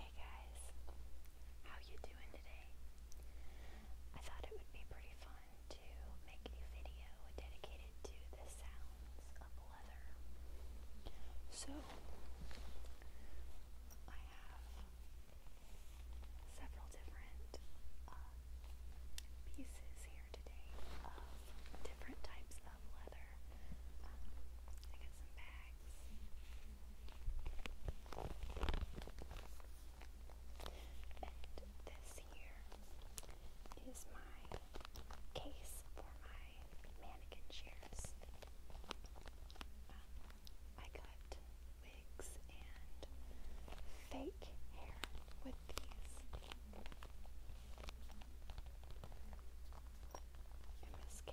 Hey guys, how you doing today? I thought it would be pretty fun to make a video dedicated to the sounds of leather. So, I have several different uh, pieces here today of different types love leather. Um, I got some bags. And this here is my case for my mannequin chairs. Um, I got wigs and fake hair with these.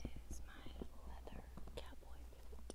This is my leather cowboy boot.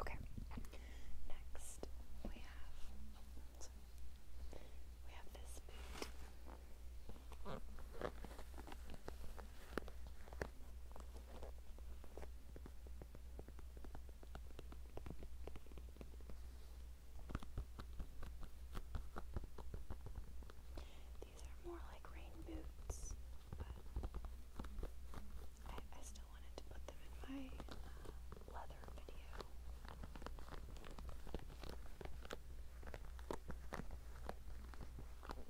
Okay. Next, we have we have this boot. These are more like rain boots, but I, I still wanted to put them in my uh, leather video. Okay,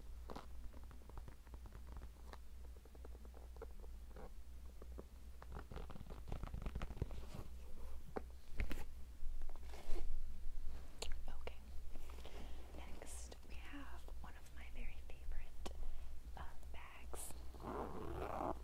next Next, we have one of my very favorite uh, bags. Sorry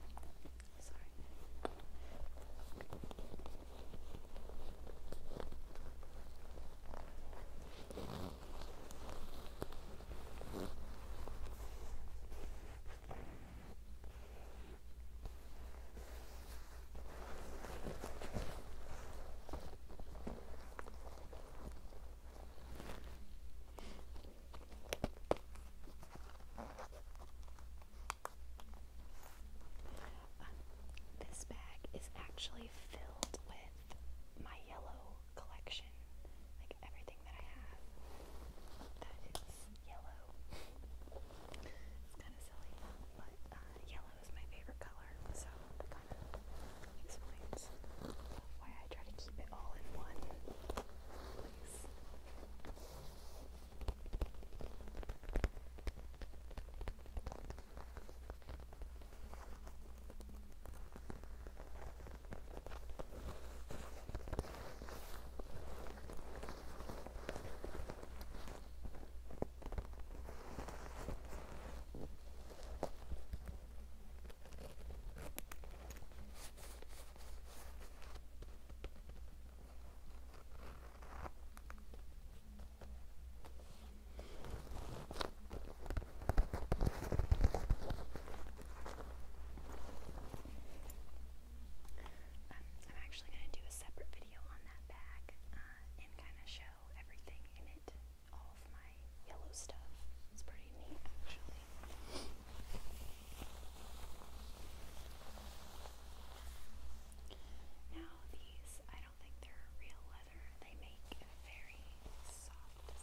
this bag is actually filled with my yellow collection, like everything that I have that is yellow. It's kind of silly, but uh, yellow is my favorite color, so explains why I try to keep it all in one place. Um, I'm actually going to do a separate video on that bag uh, and kind of show everything in it all my yellow stuff. It's pretty neat, actually. Now, these, I don't think they're real leather. They make very soft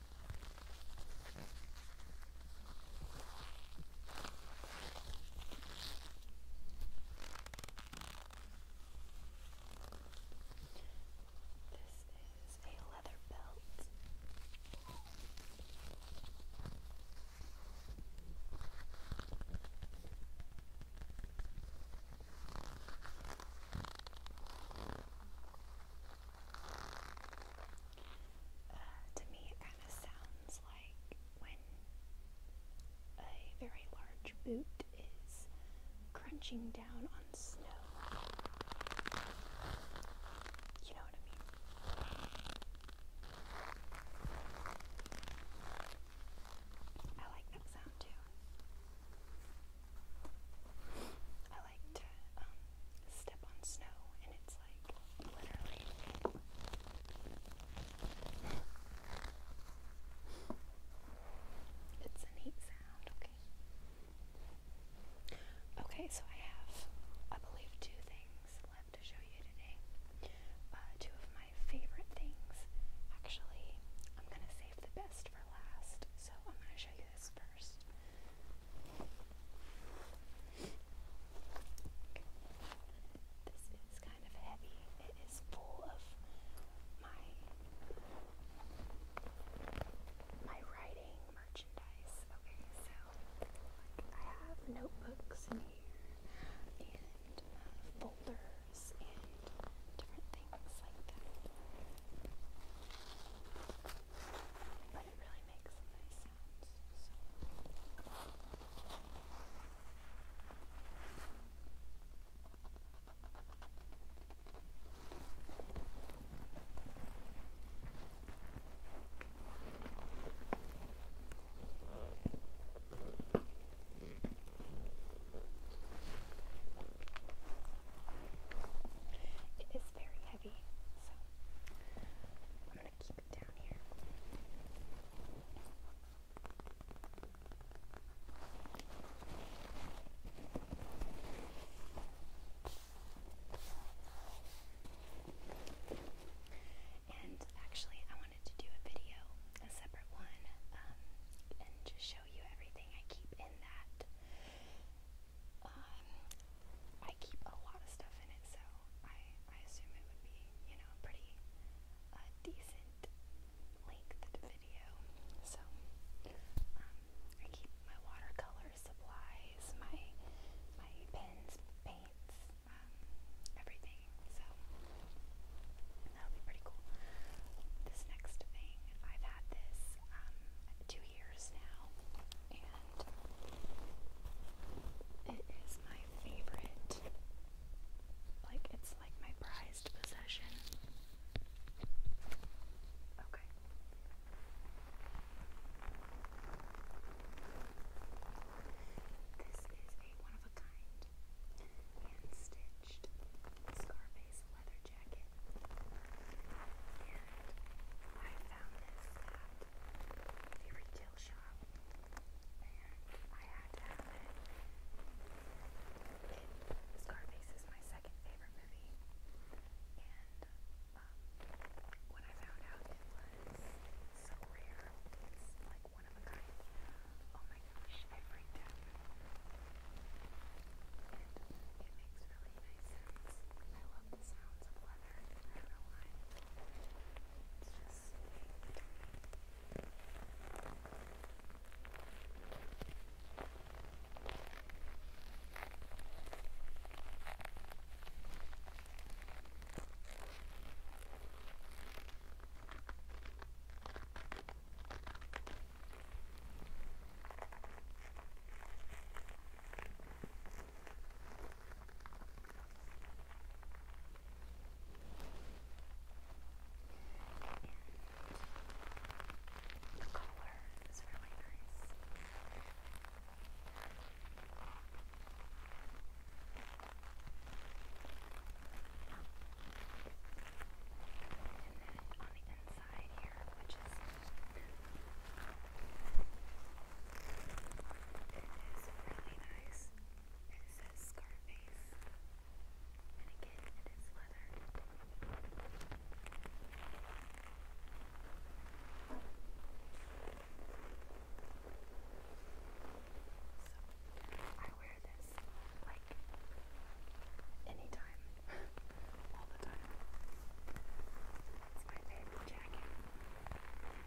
This is a leather belt. It uh, to me, it kind of sounds like when a very large boot is crunching down on snow. You know what I mean? I like that sound too. I like to um, step on snow, and it's like literally. It's a neat sound, okay. Okay, so I have, I believe, two things left to show you today. Uh, two of my favorite things. Actually, I'm gonna save the best for last, so I'm gonna show you this first. This is kind of heavy. It is full of my my writing merchandise. Okay, so I have notebooks in here and uh, folders and different things things like But it really makes nice sounds. It is very heavy, so I'm going to keep it down here. And actually, I wanted to do a video, a separate one, um, and just show you everything I keep in that um, I keep a lot of stuff in it, so I, I assume it would be, you know, pretty uh, decent length video. So, um, I keep my watercolor supplies, my, my pens, paints, um, everything. So, that'll be pretty cool. This next thing, I've had this um, two years now, and it is my favorite. Like, it's like my prized possession. Okay. This is a one of a kind hand stitched Scarface leather jacket. And I found this at a favorite tail shop. And I had to have it. it Scarface is my second favorite movie. And um, when I found out it was so rare, it's like one of a kind. Oh my my gosh, it makes really nice sounds. I love the sounds of leather. I don't know why. It's just the color is really nice then on the inside here, which is really nice. It says Scarface, and again, it is leather. So I wear this is like anytime, all the time. It's my favorite jacket. Okay,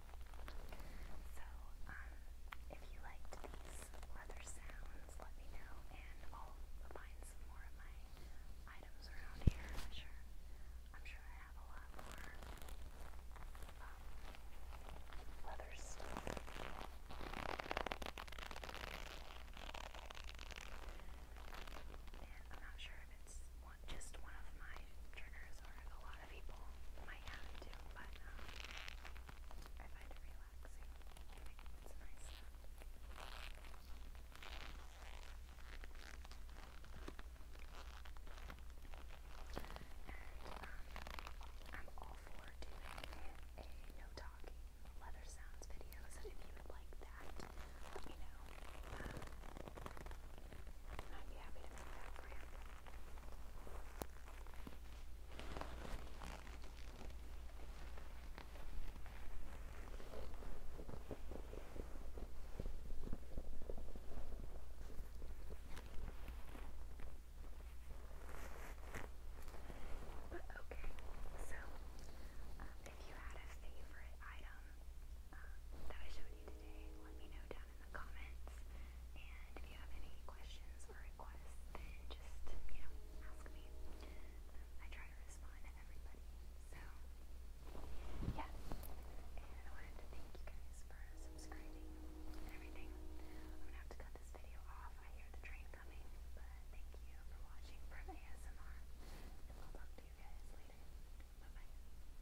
So, um, if you liked these leather sounds, let me know, and I'll find some more of my items around here. I'm sure, I'm sure I have a lot more um, leather I'm not sure if it's just one of my triggers, or a lot of people might have it but um, I find it relaxing. It's nice. Um, I'm all for doing a no talking leather sounds video, if you would like that, let me know. Uh, I'd be happy to do that. But okay, so um, if you had a favorite item uh, that I showed you today, let me know in the comments. And if you have any questions or requests, then just, you know, ask me. Um, I try to respond to everybody. So, yeah. And I wanted to thank you guys for subscribing and everything. I'm gonna have to cut this video off. I hear the train coming, but thank you for watching from ASMR. I'll talk to you guys later. bye.